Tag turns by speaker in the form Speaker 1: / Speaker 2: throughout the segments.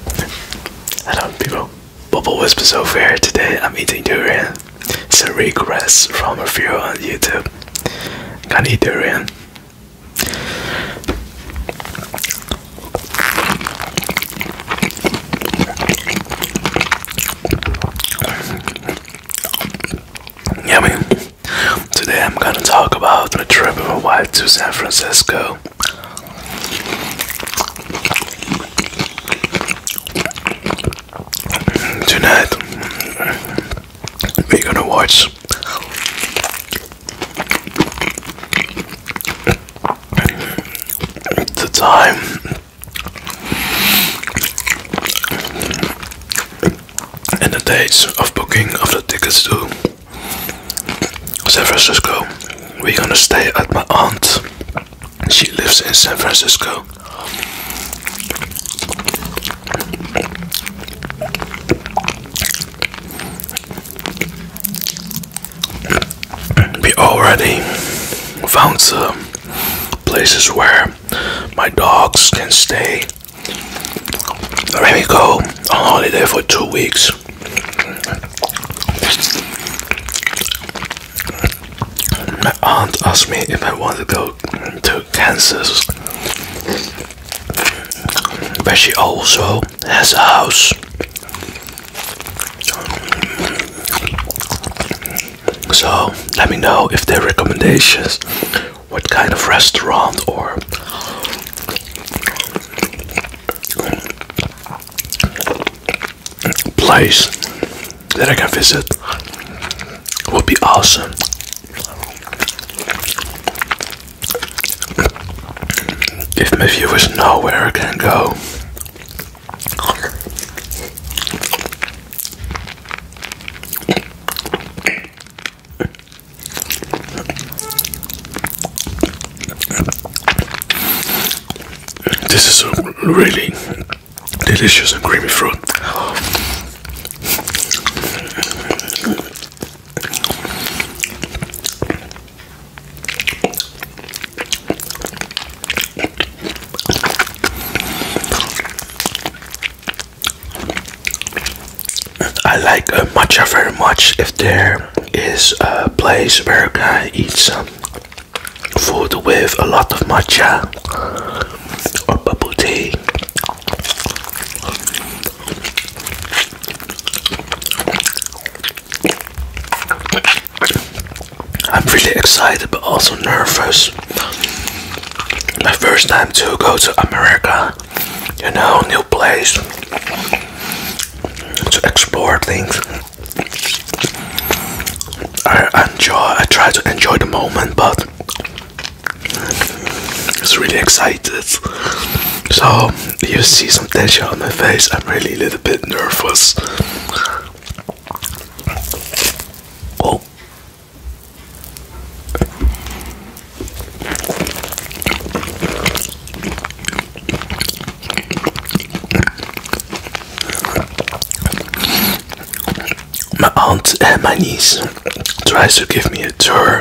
Speaker 1: Hello people, Bubble Wisp is over here. Today I'm eating durian. It's a request from a viewer on YouTube. Can eat durian. Yummy. Today I'm gonna talk about the trip of a wife to San Francisco. Tonight we're gonna watch the time and the dates of booking of the tickets to San Francisco. We're gonna stay at my aunt. She lives in San Francisco. We already found some places where my dogs can stay. Let me go on holiday for two weeks. My aunt asked me if I want to go to Kansas, but she also has a house. So let me know if there are recommendations, what kind of restaurant or place that I can visit would be awesome. If my viewers know where I can go, this is a really delicious and creamy fruit. I like uh, matcha very much. If there is a place where I eat some food with a lot of matcha or bubble tea, I'm really excited but also nervous. My first time to go to America you know, new place to explore things. I enjoy, I try to enjoy the moment, but it's really excited. So you see some tension on my face. I'm really a little bit nervous. Oh. My aunt and my niece tries to give me a tour.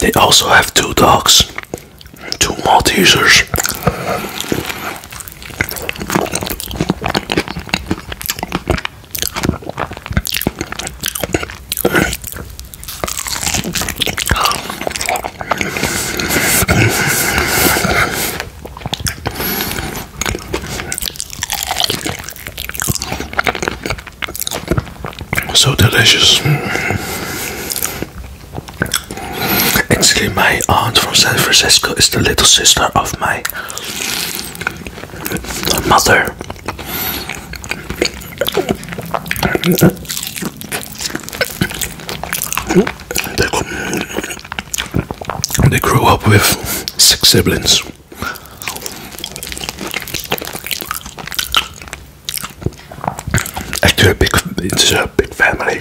Speaker 1: They also have two dogs, two Maltesers. So delicious. Actually, my aunt from San Francisco is the little sister of my mother. They grew up with six siblings. Actually, a big, it's a big family.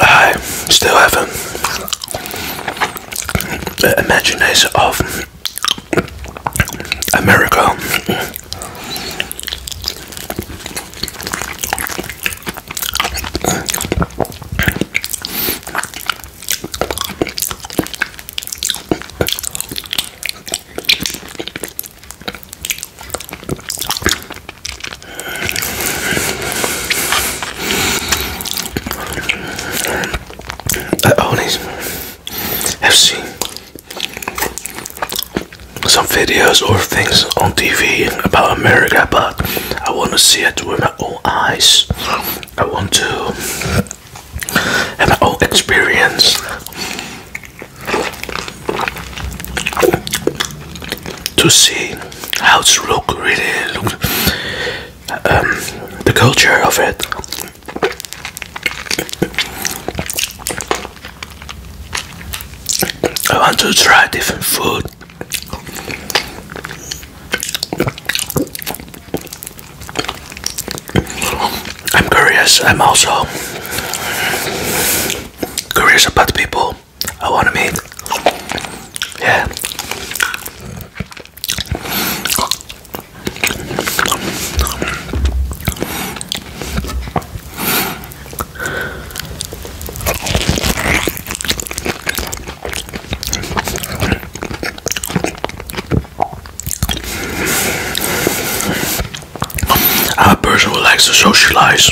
Speaker 1: I still have the imagination of America. I only have seen some videos or things on TV about America, but I want to see it with my own eyes. I want to have my own experience to see how it's look really look um, the culture of it I want to try different food I'm curious. I'm also curious about people I want to meet. Yeah. I'm a person who likes to socialize.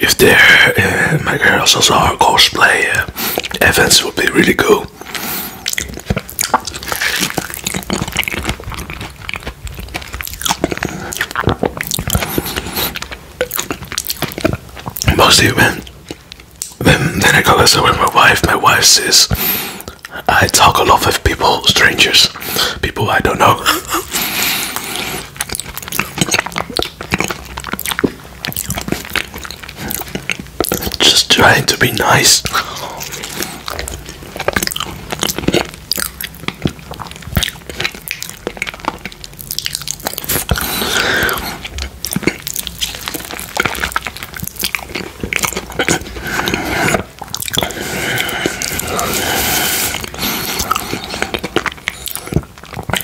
Speaker 1: If there, uh, my girls also are cosplay uh, events, would be really cool. Mostly when, Then, when I go as with my wife, my wife says, I talk a lot with people, strangers, people I don't know. Just trying to be nice.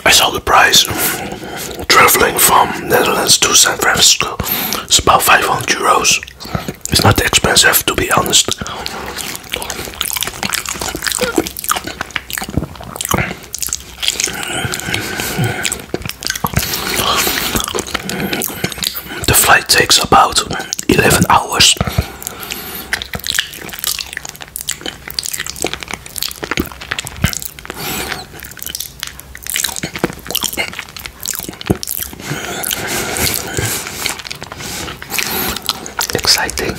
Speaker 1: I saw the price traveling from Netherlands to San Francisco. It's about 500 euros. It's not expensive to be honest. The flight takes about 11 hours. Exciting.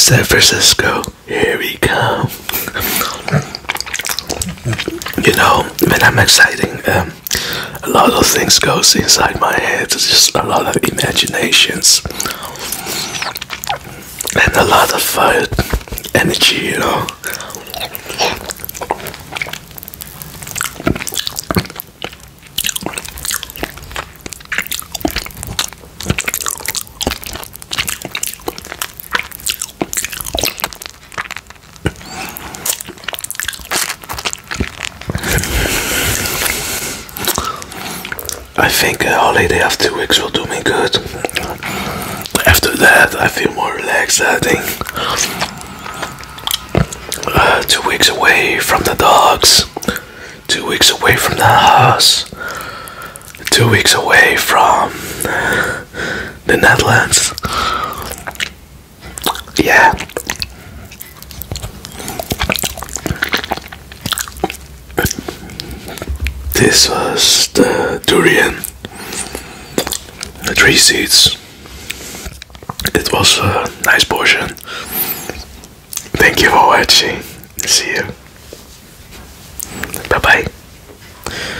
Speaker 1: San Francisco, here we go. you know, man, I'm exciting. Um, a lot of things goes inside my head. It's just a lot of imaginations and a lot of fire uh, energy, you know. I think a holiday of two weeks will do me good. After that, I feel more relaxed. I think uh, two weeks away from the dogs, two weeks away from the house, two weeks away from the Netherlands. Yeah. This was the durian, the tree seeds. It was a nice portion. Thank you for watching. See you. Bye bye.